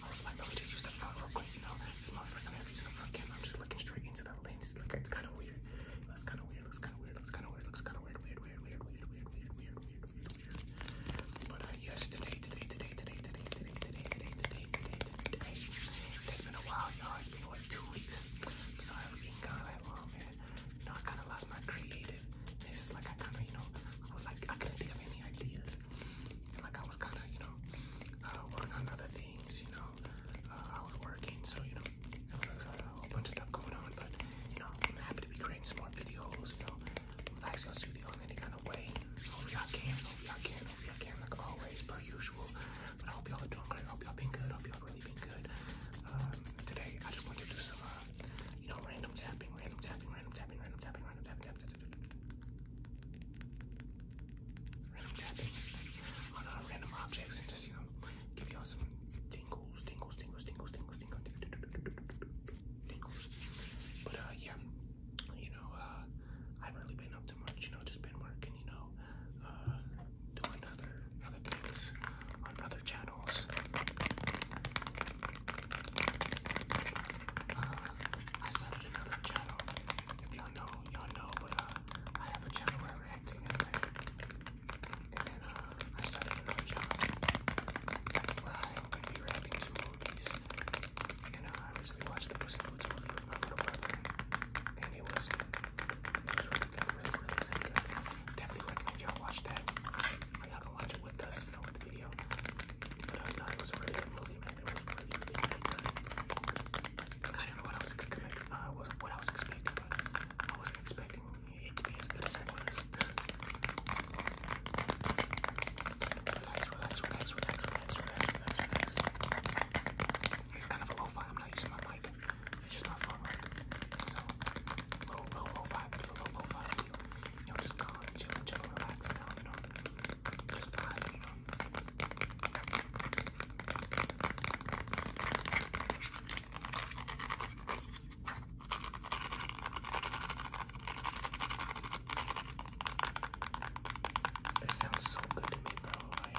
I was like, let me just use the phone real quick, you know. It's my I'm just looking straight into the lens. It's like it's kind of weird. It kind of weird. Looks kind of weird. Looks kind of weird. Looks kind of weird. Weird. Weird. Weird. Weird. Weird. Weird. Weird. Weird. Weird. But uh, yes, today, today, today, today, today, today, today, today, today, today, It's been a while, y'all. It's been like two weeks. I'm sorry for being gone that long, man. You I kind of lost my creative. It's Like I kind of, you know, I was like, I couldn't think of any ideas. like I was kind of, you know, working on other things, you know know, I was working, so you know, a whole bunch of stuff going on. But you know, happy to be creating some more videos. You know, relaxing our studio in any kind of way. Hope y'all can, hope y'all can, hope y'all can, like always, per usual. But I hope y'all are doing great. I hope y'all been good. I hope y'all really been good. today, I just want to do some, you know, random tapping, random tapping, random tapping, random tapping, random tapping, Random tapping on uh, random objects and just, you know, give y'all some tingles, tingles, tingles, tingles, tingles, tingles, tingles. But uh, yeah, you know, uh, I haven't really been up to much, you know, just been working, you know, uh, doing other, other things on other channels. Uh, I started another channel. If y'all know, y'all know, uh, I have a channel where I'm reacting and uh, I started another channel where I would reacting to movies. And uh, I recently watched the Pussy Boots movie with my little brother, and it was really really, really, good. Definitely recommend y'all watch that. Y'all can watch it with us, you know, with the video. But I thought it was a really good movie, I don't know what I was expecting. Uh, what, what I was expecting, I wasn't expecting it to be as good as it was. relax, relax, relax, relax, relax, relax, relax, It's kind of a fi I'm not using my mic. It's just my phone So low, low, low-fi low, low-fi You know, just calm, chill, chill, relax. you know, just vibe. You know, that sounds so good to me, bro. Like,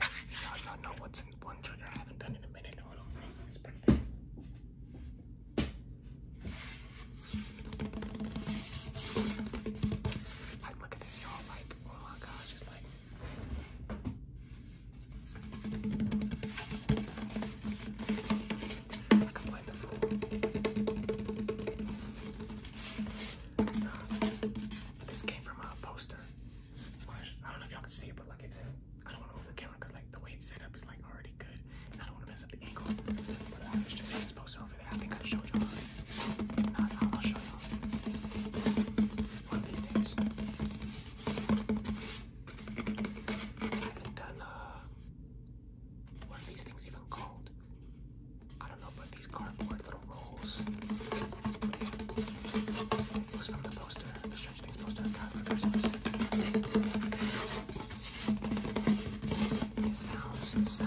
Now y'all know what's in one trigger I haven't done in a minute. Hold look at this, y'all. Like, oh my gosh, it's like. I this came from a poster. I don't know if y'all can see it, but like it's. I don't want to move the camera because like the way it's set up is like already good, I don't want to mess up the angle. But I was just this poster over I think I showed y'all. If not, I'll show y'all one of these days. I haven't done uh, what are these things even called? I don't know, but these cardboard little rolls. Yeah. It the poster, the Strange Things poster I for Christmas. It sounds, it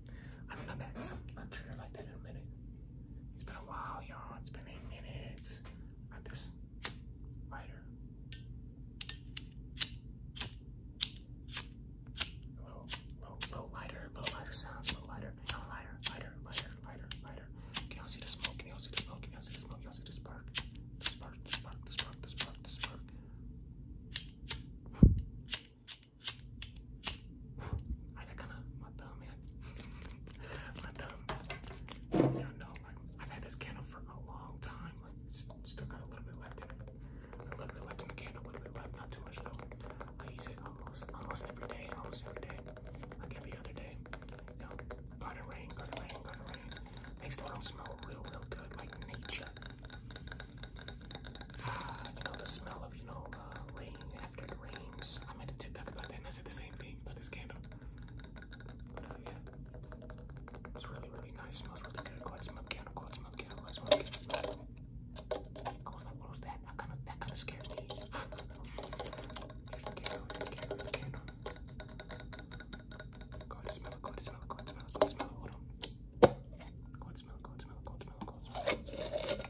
I'm not that so unsure like that in a minute. It's been a while, y'all. It's been eight minutes. Got this lighter. Low, low, low lighter, low lighter sound, low lighter, lighter, lighter, lighter, lighter, lighter. Can y'all see the smoke? Can y'all see the smoke? Can y'all see the smoke? Y'all see the spark? The spark, the spark, the spark, the spark, the spark. I kind of my thumb, man. my thumb. You know, like I've had this candle for a long time. Like still got a little bit left in it. A little bit left in the candle, a little bit left, not too much though. I use it almost almost every day, almost every day. Like every other day. You know, garden rain, garden rain, garden rain. Makes the room smell real, real good, like nature you know, the smell of, you know, uh, rain after it rains. I made a TikTok about that and I said the same thing about this candle. Uh, yeah, it's really, really nice. Smells really good. Go candle. Go candle. Go candle. what was that? That kind of, scared me. Here's candle. Here's candle. Here's candle. Go ahead, Good smell, good smell, good smell, good smell.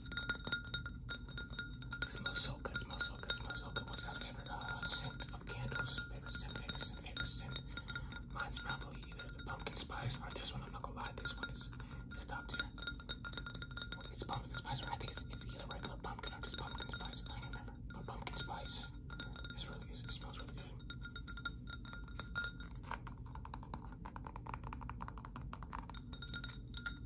It smells so good, it smells so good, it smells so good. What's my favorite uh, scent of candles? Favorite scent, favorite scent, favorite scent. Mine's probably either the pumpkin spice or this one. I'm not gonna lie, this one is just top tier. It's pumpkin spice, or I think it's, it's either regular pumpkin or just pumpkin spice. I don't remember. But pumpkin spice is really, it smells really good.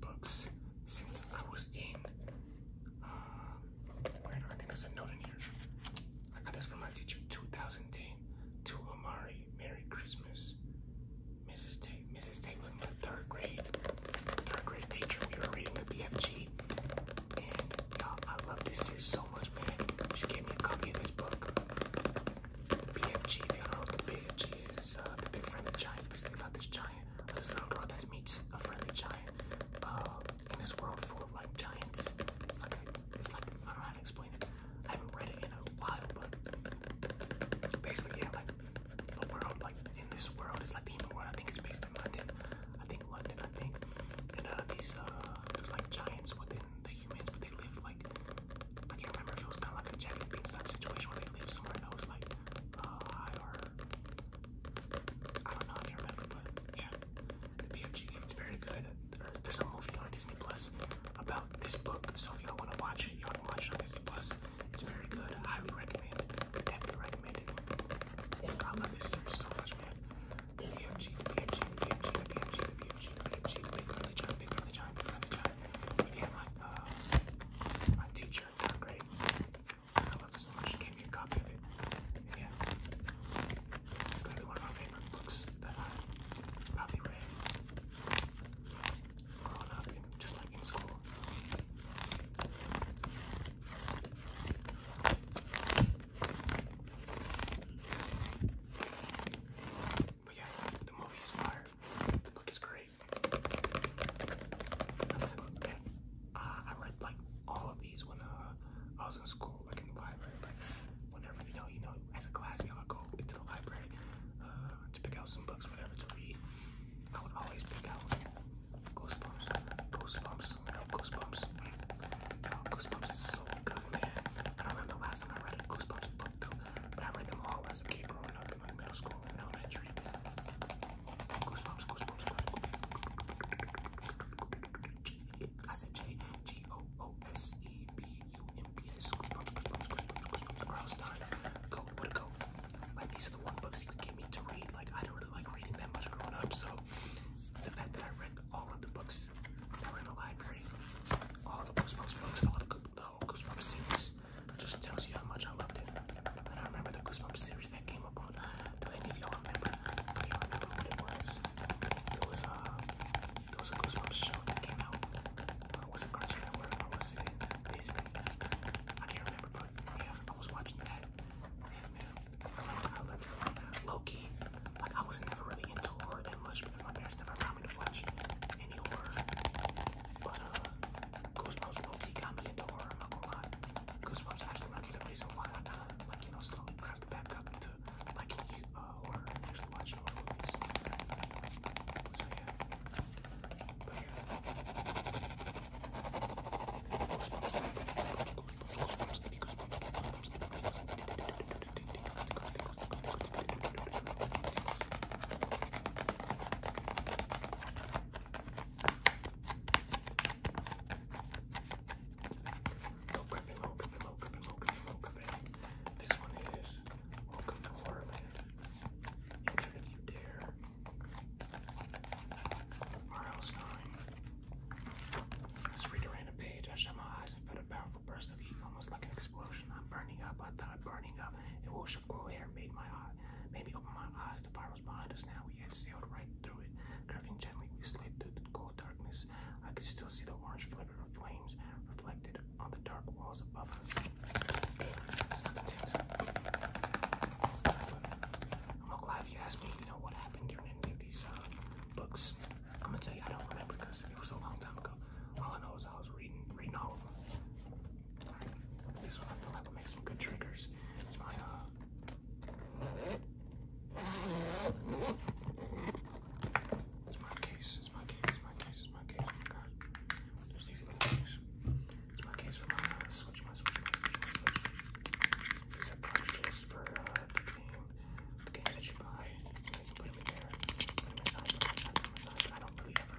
books since I was in. Uh, where do I think there's a note in here? I got this from my teacher, 2010. To Amari, Merry Christmas, Mrs. Tate. Mrs. Tate was my third grade, third grade teacher. We were reading the BFG, and y'all, I love this series so much, man. She gave me a copy of this book. BFG, if y'all BFG is, uh, the big franchise, basically about this giant there's this little girl that meets a friendly giant uh, in this world full of like giants. Like a, it's like I don't know how to explain it. I haven't read it in a while, but basically, yeah, like the world, like in this world, it's like the human world. I think it's based in London. I think London. I think, and uh, these uh, there's like giants within the humans, but they live like I can't remember if it was kind of like a Jack and Beanstalk situation where they live somewhere else, like I don't know, if you remember, but yeah, the BFG game's very good. There's a movie on Disney Plus about this book, so if y'all want to watch it, y'all can watch it on Disney Plus. It's very good. Highly recommend. Definitely recommend I love this series so much, man. BFG, BFG, BFG, BFG, BFG, BFG, Big Friendly John, Big Friendly John, Big Friendly John. Yeah, my, my teacher, not great. I love it so much. She gave me a copy of it. yeah. It's literally one of my favorite books that I probably read growing up and just like in school. But yeah, the movie is fire. The book is great. And uh, I read like all of these when uh, I was in school, like in the library. Like whenever you know, you know, as a class, y'all go into the library uh, to pick out some books, whatever to read. I would always pick out Goosebumps, Goosebumps, Goosebumps. Oh, Goosebumps is so good, man. I don't remember the last time I read a Goosebumps book though, but I read them all as a kid growing up in like middle school and elementary. Goosebumps, goosebumps, goosebumps. I said J G O O S E B U M B S. Goosebumps, goosebumps, goosebumps, goosebumps. Or I was dying. Go, what a go. Like these are the one books you could get me to read. Like I don't really like reading that much growing up, so the fact that I read all of the books that were in the library, all the goosebumps books, all the, the whole goosebumps series. Just tells you how much I loved it. And I remember the Goosebumps series that came upon. Do any of y'all remember? Do you remember what it was? It was a, uh, it was a Goosebumps show that came out. Uh, was it Cartoon Network or was it Disney? I can't remember, but yeah, I was watching that. And man, I loved, I loved it. Low key, like I was never really into horror that much because my parents never allowed me to watch any horror. But, uh, Goosebumps Loki got me into horror, I'm Goosebumps actually might be the reason why I kind uh, like, you know, slowly crept back up into, like, uh, horror actually watching horror movies. So, yeah. But, yeah. Goosebumps, Goosebumps, Goosebumps, give me Goosebumps, give me Goosebumps, give me Goosebumps. Low gripping, low gripping, low gripping, low gripping, low This one is Welcome to Horrorland. Enter if you dare. R.L. Stein. Let's read around a page. I shut my eyes and felt a powerful burst of heat, almost like an explosion. I'm burning up. I thought I'm burning up. It will of air made my eye, made me open my eyes. The fire was behind us now. We had sailed right through it. Curving gently, we slid through the cold darkness. I could still see the orange flicker of flames reflected on the dark walls above us. I'm not glad if you asked me, you know, what happened during any of these uh, books. I'm gonna tell you, I don't remember because it was a long time ago. All I know is I was reading, reading all of them. This one I feel like will make some good triggers. It's my uh It's my case, it's my case, it's my case, it's my case, oh my god. There's these little things. It's my case for my uh, switch, my switch, my switch, my switch. These are cartridges for uh the game. The game that you buy. You can put them in there. Put them inside, I don't really ever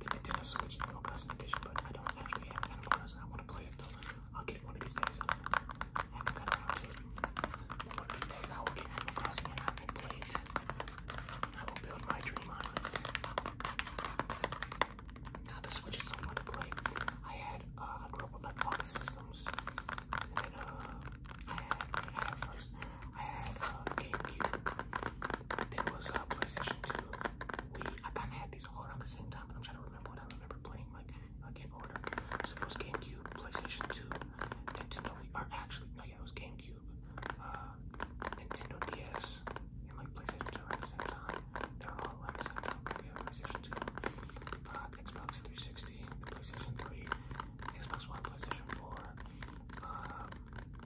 the Nintendo Switch Animal Crossing Edition, but I don't actually have Animal I want to play it though. I'll get one of these days. one of these days, I will get Animal and I will play it. I will build my dream on Now, the Switch is so fun to play. I had, uh, I grew up systems. Uh, I had, first, I had, uh, GameCube. There was, uh, PlayStation 2. Wii. I kinda had all around the same time, but I'm trying to remember what I remember playing like like in order. So it was GameCube, PlayStation 2, Nintendo We are actually no, yeah, it was GameCube, uh, Nintendo DS, and like PlayStation 2 at the same time. They're all around the PlayStation 2, uh, Xbox 360, PlayStation 3, Xbox One, PlayStation 4, um,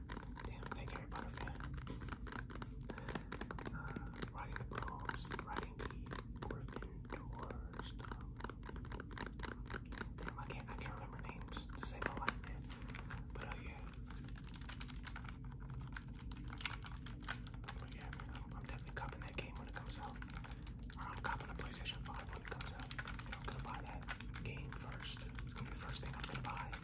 Damn, thank Harry Potter Uh, riding the Groves, riding the Gryffindor stuff. I can't, I can't remember names. This ain't my life, man. But oh yeah. But yeah, man, I'm, definitely copping that game when it comes out. I'm copping a PlayStation 5 when it comes out. And i gonna buy that game first. It's gonna be first thing I'm gonna buy.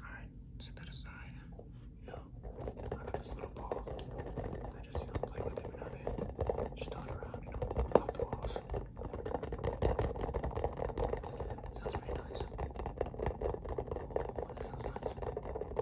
Alright, set that aside. You know, I got this little ball. I just, you know, play with it every now and then. Just throw it around, you know, off the walls. Sounds pretty nice. Oh, that sounds nice.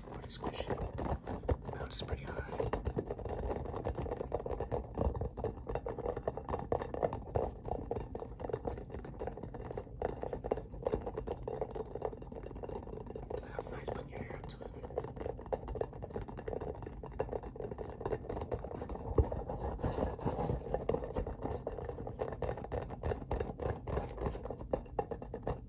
too pretty squishy. Bounces pretty high. Sounds nice putting your hair up to it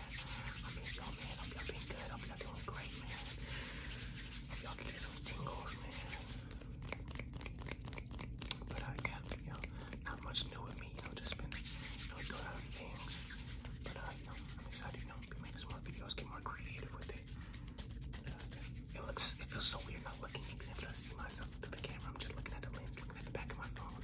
I miss y'all, man. Hope y'all been good. Hope y'all doing great, man. y'all get some tingles, man. But I got, you know, not much new with me. You know, just been, you know, doing other things. But, I'm excited, you know, be making some more videos, get more creative with it. it looks, it feels so weird not looking, even if I see myself through the camera. I'm just looking at the lens, looking at the back of my phone.